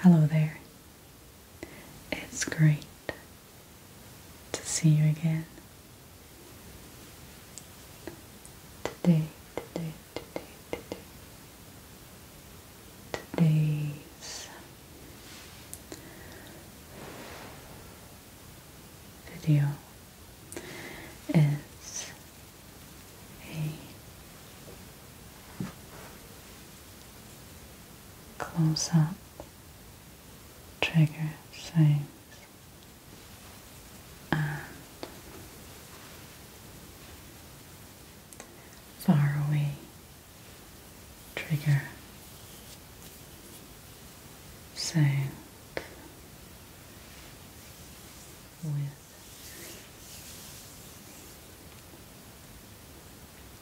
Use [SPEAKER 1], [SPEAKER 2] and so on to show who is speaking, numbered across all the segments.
[SPEAKER 1] Hello there. It's great to see you again. Today, today, today, today. Today's video is a close-up trigger things and far away trigger sound with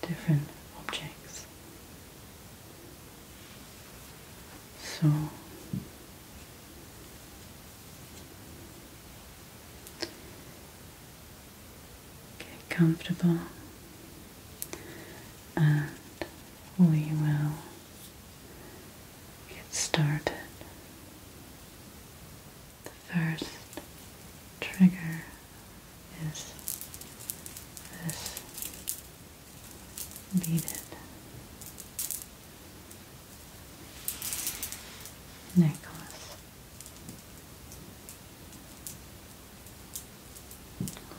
[SPEAKER 1] different objects. So get comfortable and we will get started. The first trigger is this beaded necklace,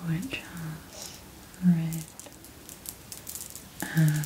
[SPEAKER 1] which has red and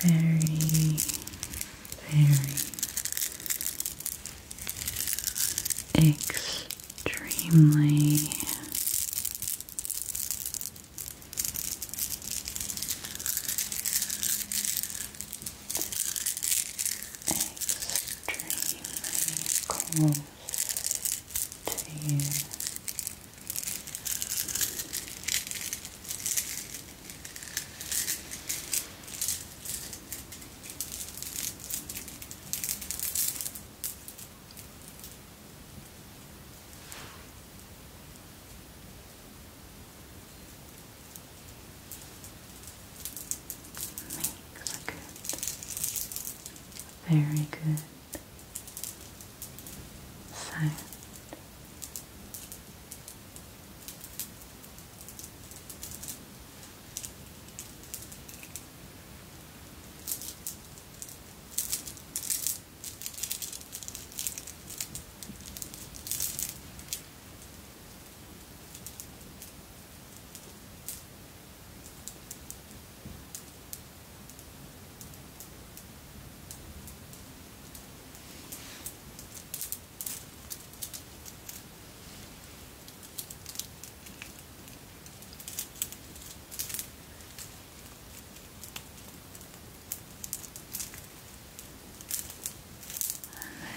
[SPEAKER 1] very, very extremely extremely cold ten, Makes a good very good. Silent.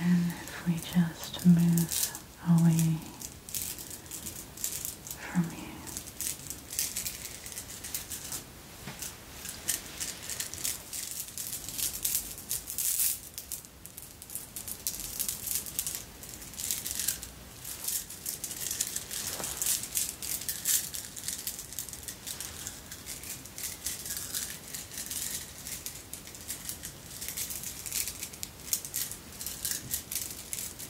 [SPEAKER 1] And then if we just move away from you.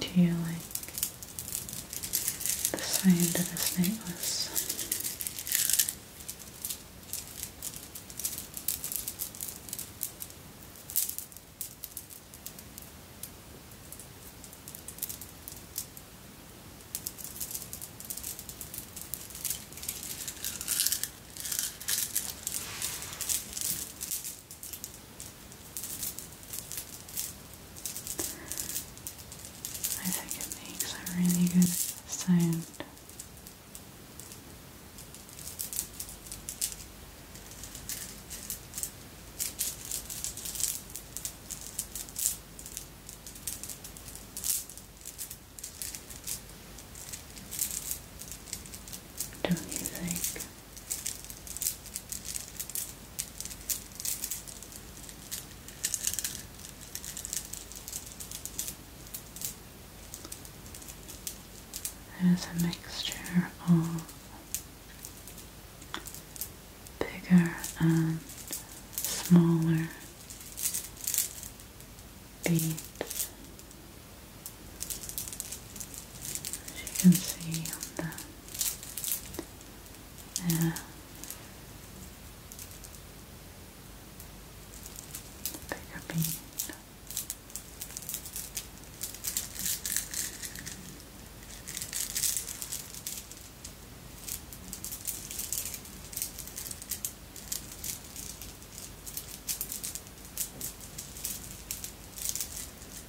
[SPEAKER 1] Do you like the sound of this necklace? I think it makes a really good sound. Don't you think? There's a mixture of bigger and smaller beads, as you can see on the yeah. Bigger bean.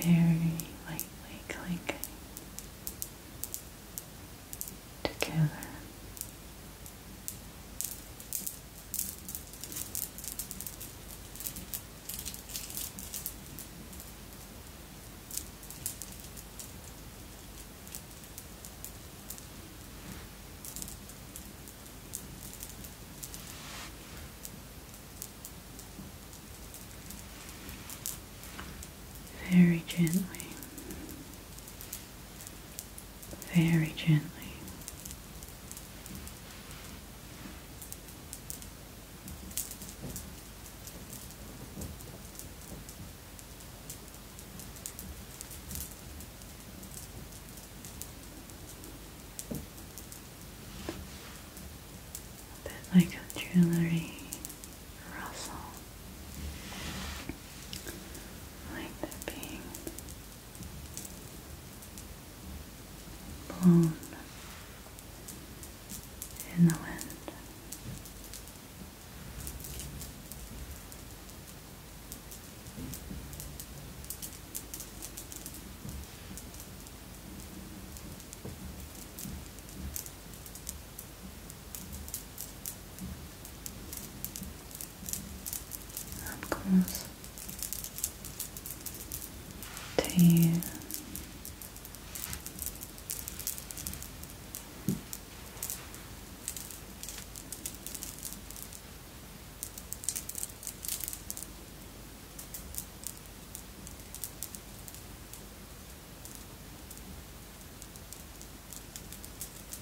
[SPEAKER 1] Very lightly clinking together very gently very gently. A bit like a jewelry rustle, like there being blown in the wind of course, to you.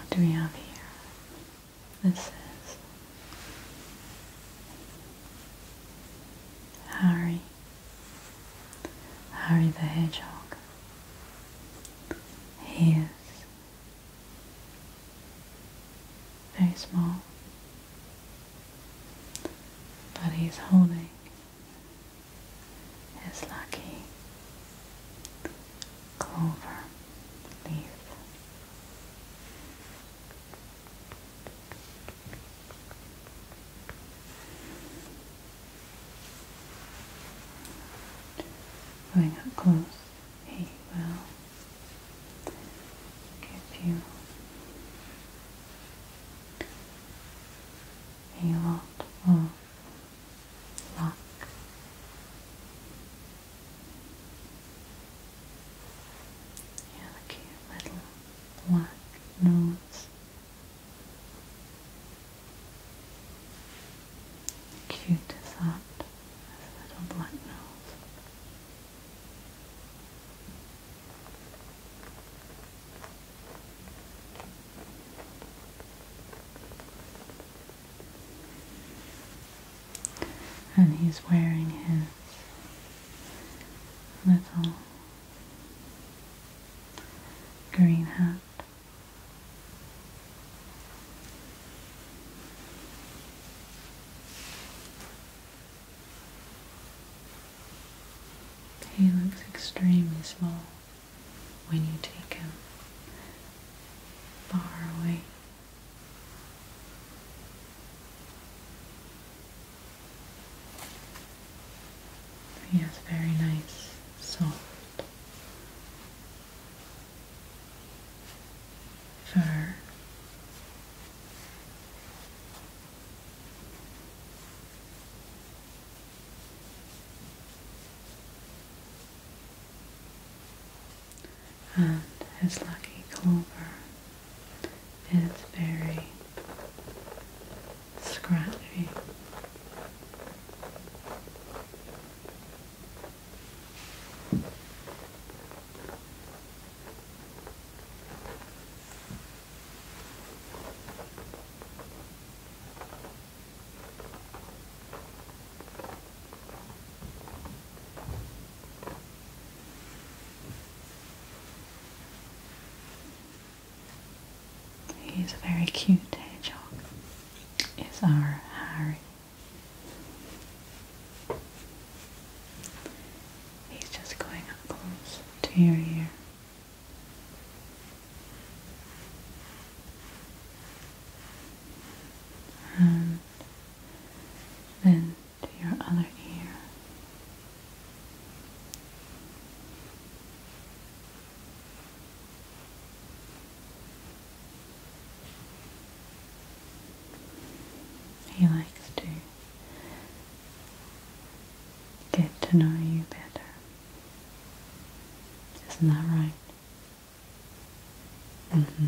[SPEAKER 1] What do we have here? This is Harry Harry the Hedgehog. He is very small, but he's holding his lucky clover leaf. Going up close, he will give you a lot of luck. Yeah, the cute little black nose. Cute as that? His little black nose. And he's wearing his little green hat. He looks extremely small when you take him far away. Yes, very nice, soft fur. And his lucky clover. It's very scratchy. He's a very cute hedgehog. Is our Harry. He's just going up close to your ear. And then to your other ear. He likes to get to know you better. Isn't that right? Mm hmm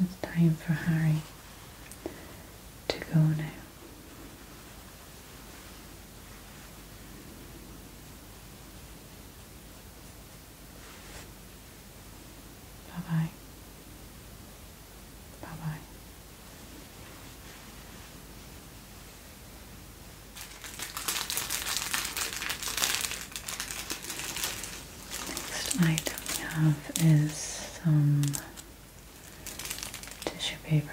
[SPEAKER 1] it's time for Harry to go now. Bye bye. Bye bye. Next item we have is some tissue paper.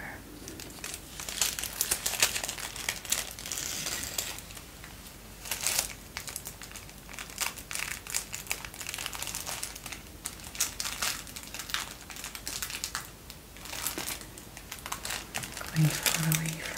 [SPEAKER 1] going far away from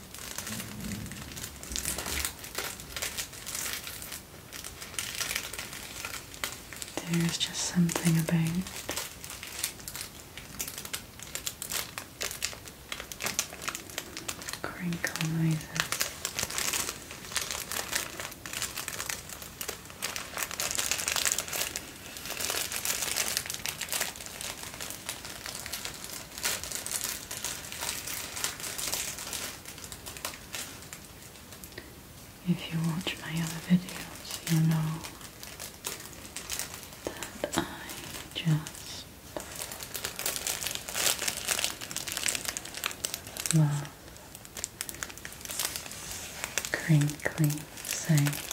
[SPEAKER 1] There's just something about crinkle noises. If you watch my other videos, you know that I just love crinkly sounds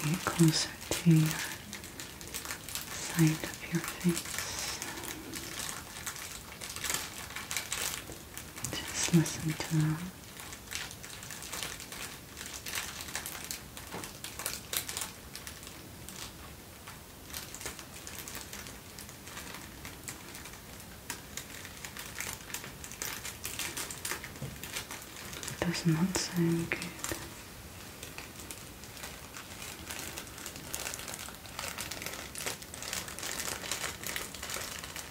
[SPEAKER 1] Okay, closer to your side of your face. Just listen to them. Does not sound good.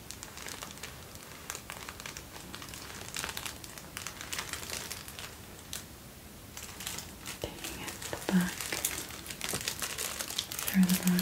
[SPEAKER 1] Taking it back, through the back.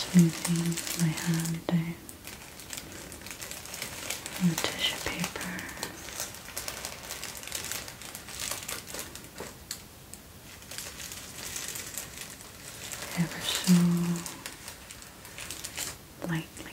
[SPEAKER 1] Smoothing my hand down on the tissue paper. Ever so lightly.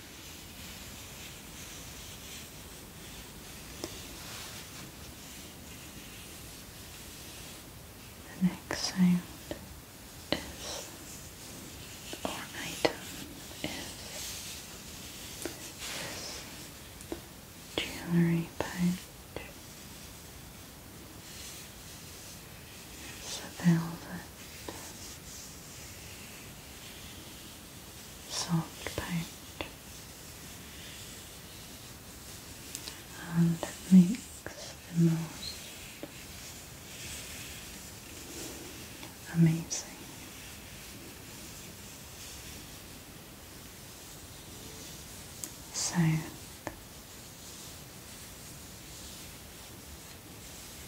[SPEAKER 1] The next sound is, or item is, this jewelry pouch. It's soft paint and it makes the most amazing sound.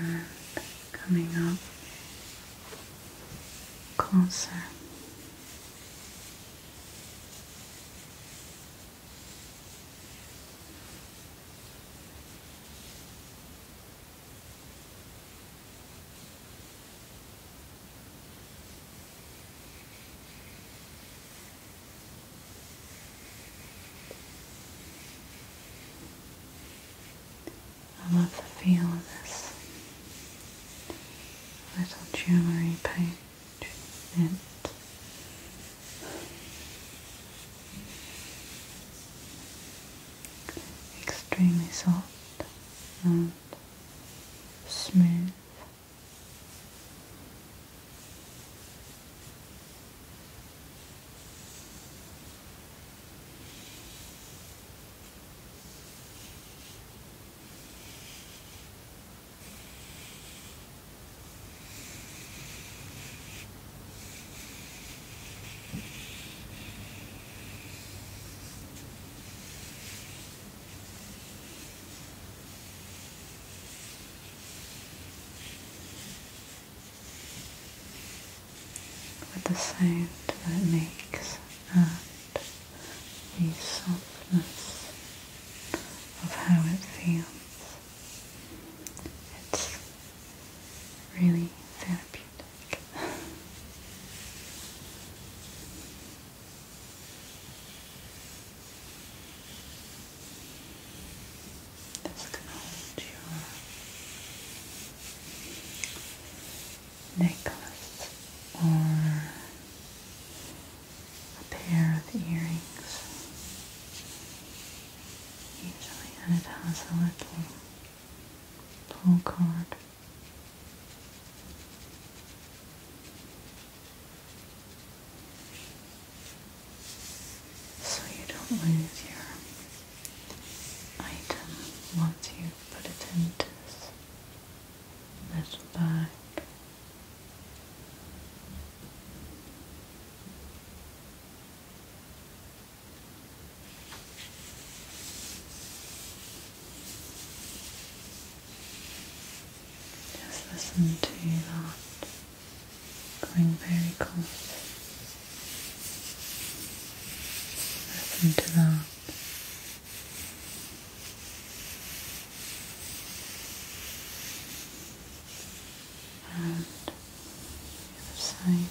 [SPEAKER 1] and coming up closer. I love the feel of this little jewellery page extremely soft and smooth with the sound that makes and the softness of how it feels. It's really therapeutic back. Just hold your necklace or a pair of earrings. Usually it has a little pull cord. So you don't lose your item once you put it into this bag. Just listen to that going very close. Listen to that. And the other side.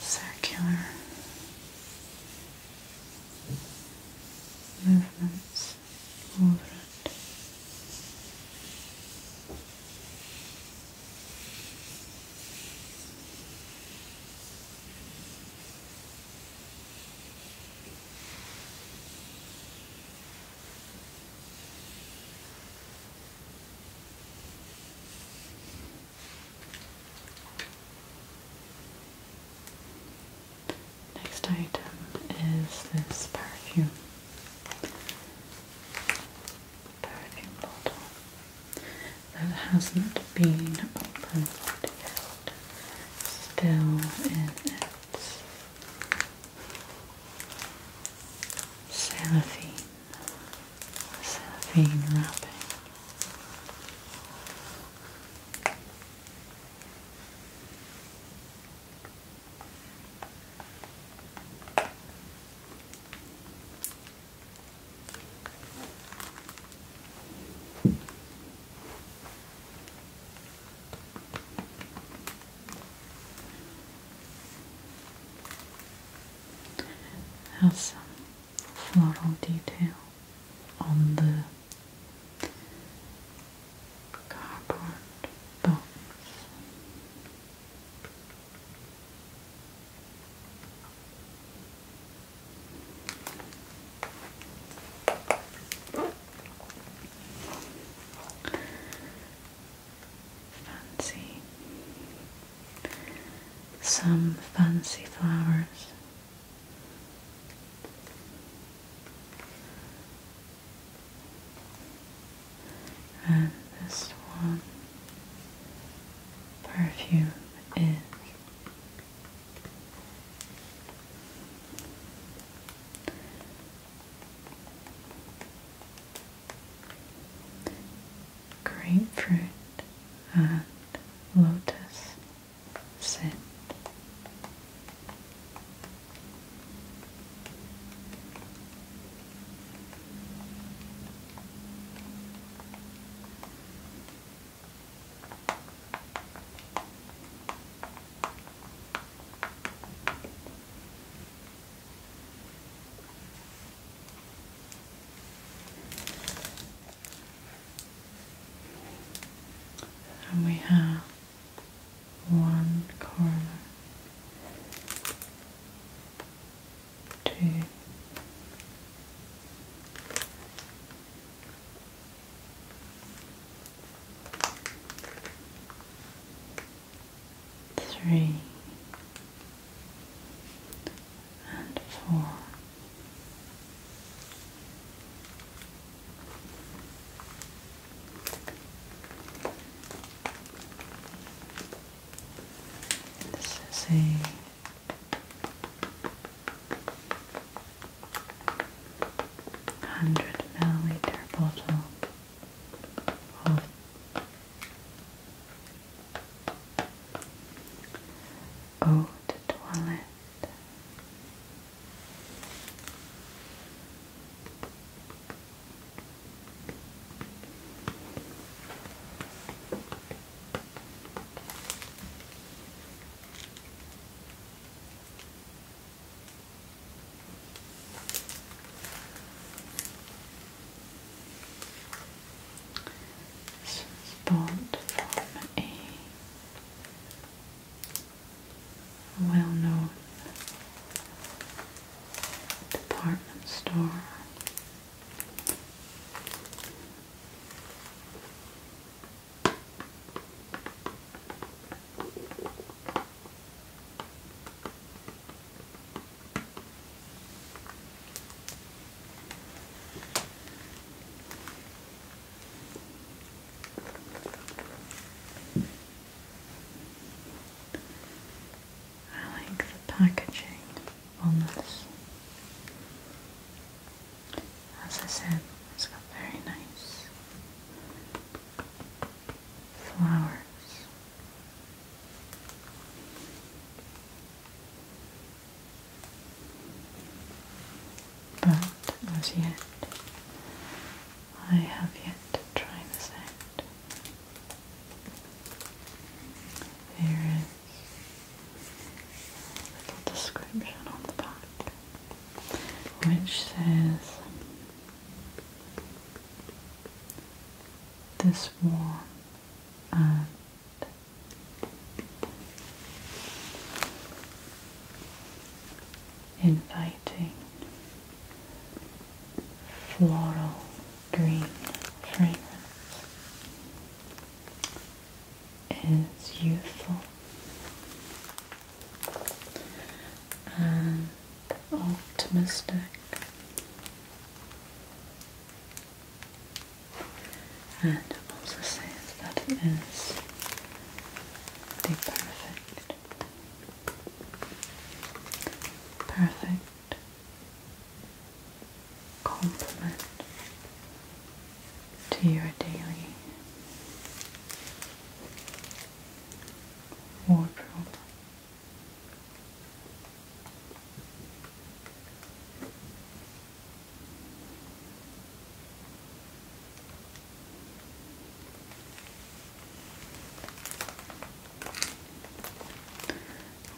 [SPEAKER 1] circular movements over it. Next item is this perfume. Perfume bottle that hasn't been opened yet. Still in its cellophane cellophane wrapping has some floral detail on the cardboard box. Fancy some fancy flowers. And this one perfume is grapefruit and lotus scent and we have one corner, two, three and four. This is a hundred milliliter bottle of Oh, the toilet spawned from a well-known department store. I like the packaging on this. As I said, it's got very nice flowers but as yet, I have yet to try this out. There is little description on the back which says this warm uh, inviting floral green fragrance is youthful and optimistic and also says that it is the perfect, perfect complement to your daily wardrobe.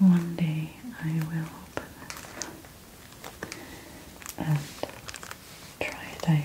[SPEAKER 1] One day I will open it and try it out.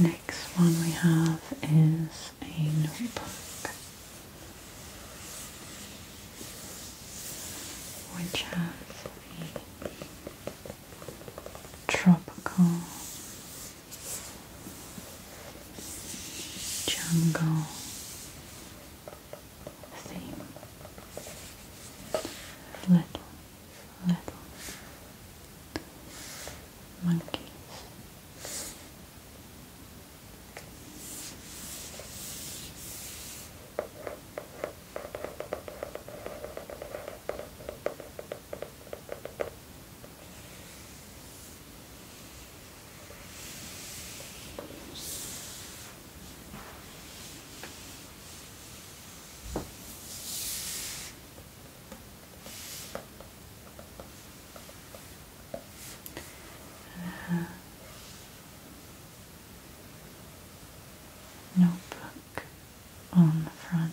[SPEAKER 1] next one we have is a notebook which has tropical jungle theme. Little, little monkeys. Uh, notebook on the front.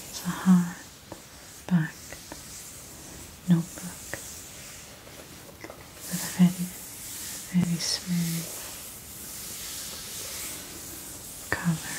[SPEAKER 1] It's a hard notebook with a very, very smooth color.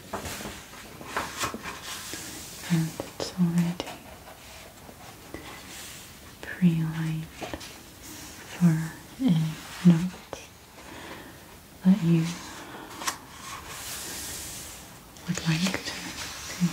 [SPEAKER 1] and it's already pre-lined for a note that you would like to see.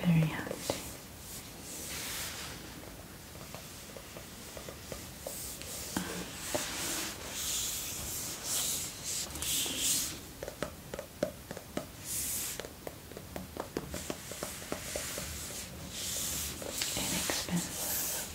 [SPEAKER 1] Very handy. Inexpensive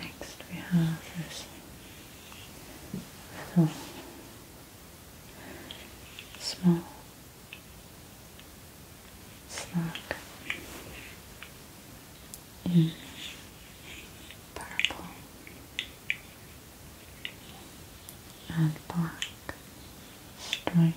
[SPEAKER 1] Next we have this little small slug in mm. purple and black stripes.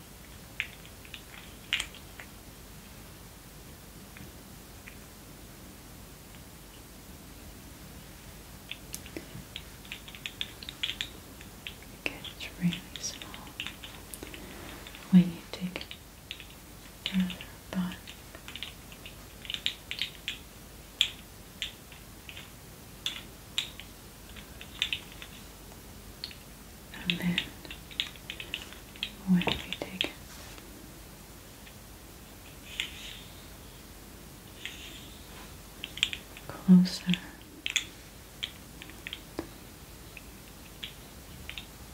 [SPEAKER 1] It's really small. We need take it further, but and then when we take closer,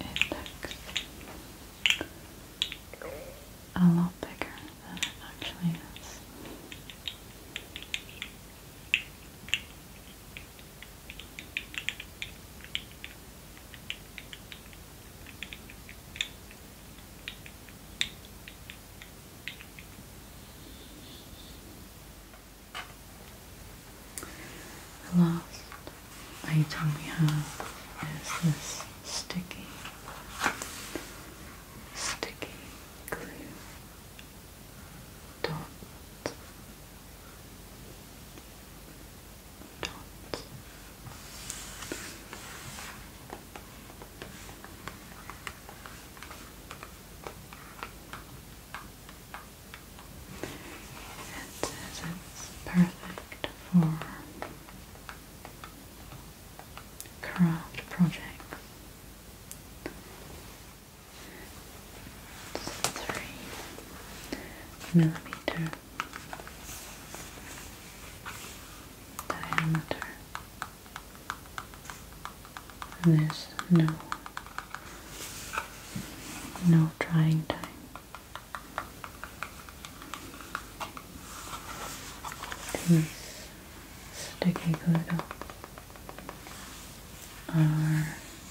[SPEAKER 1] it looks a lot bigger than it actually is. The last item we have is this sticky, sticky glue dot dots. It says it's perfect for craft projects three millimeter diameter. And there's no no drying time. These sticky glue are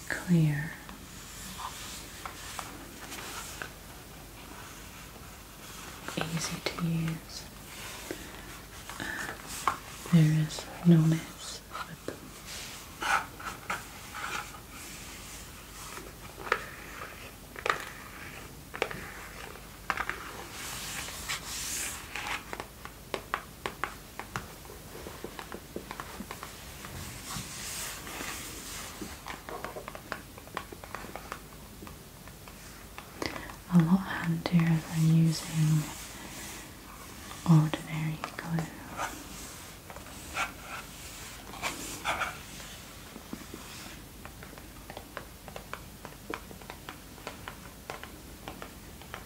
[SPEAKER 1] clear. Easy to use. there is no mess with them. A lot handier than using ordinary glue.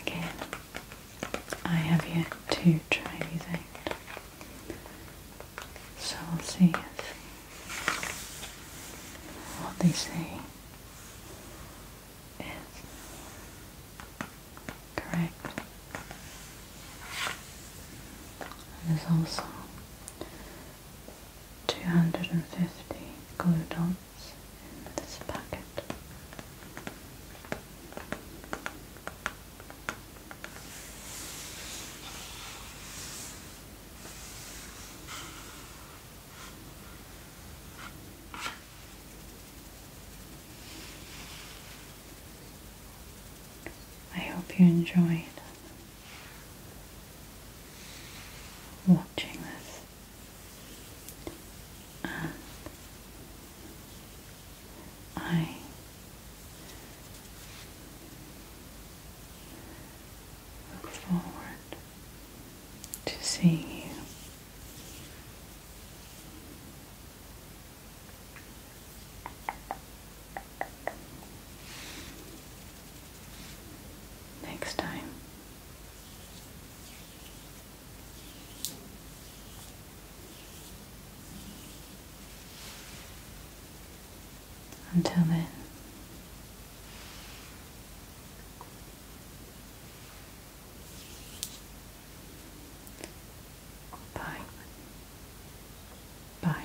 [SPEAKER 1] Again, I have yet to try these out, so we'll see if what they say is correct. And there's also 250 glue dots in this packet. I hope you enjoyed watching this I look forward to seeing you next time. Until then, bye. Bye.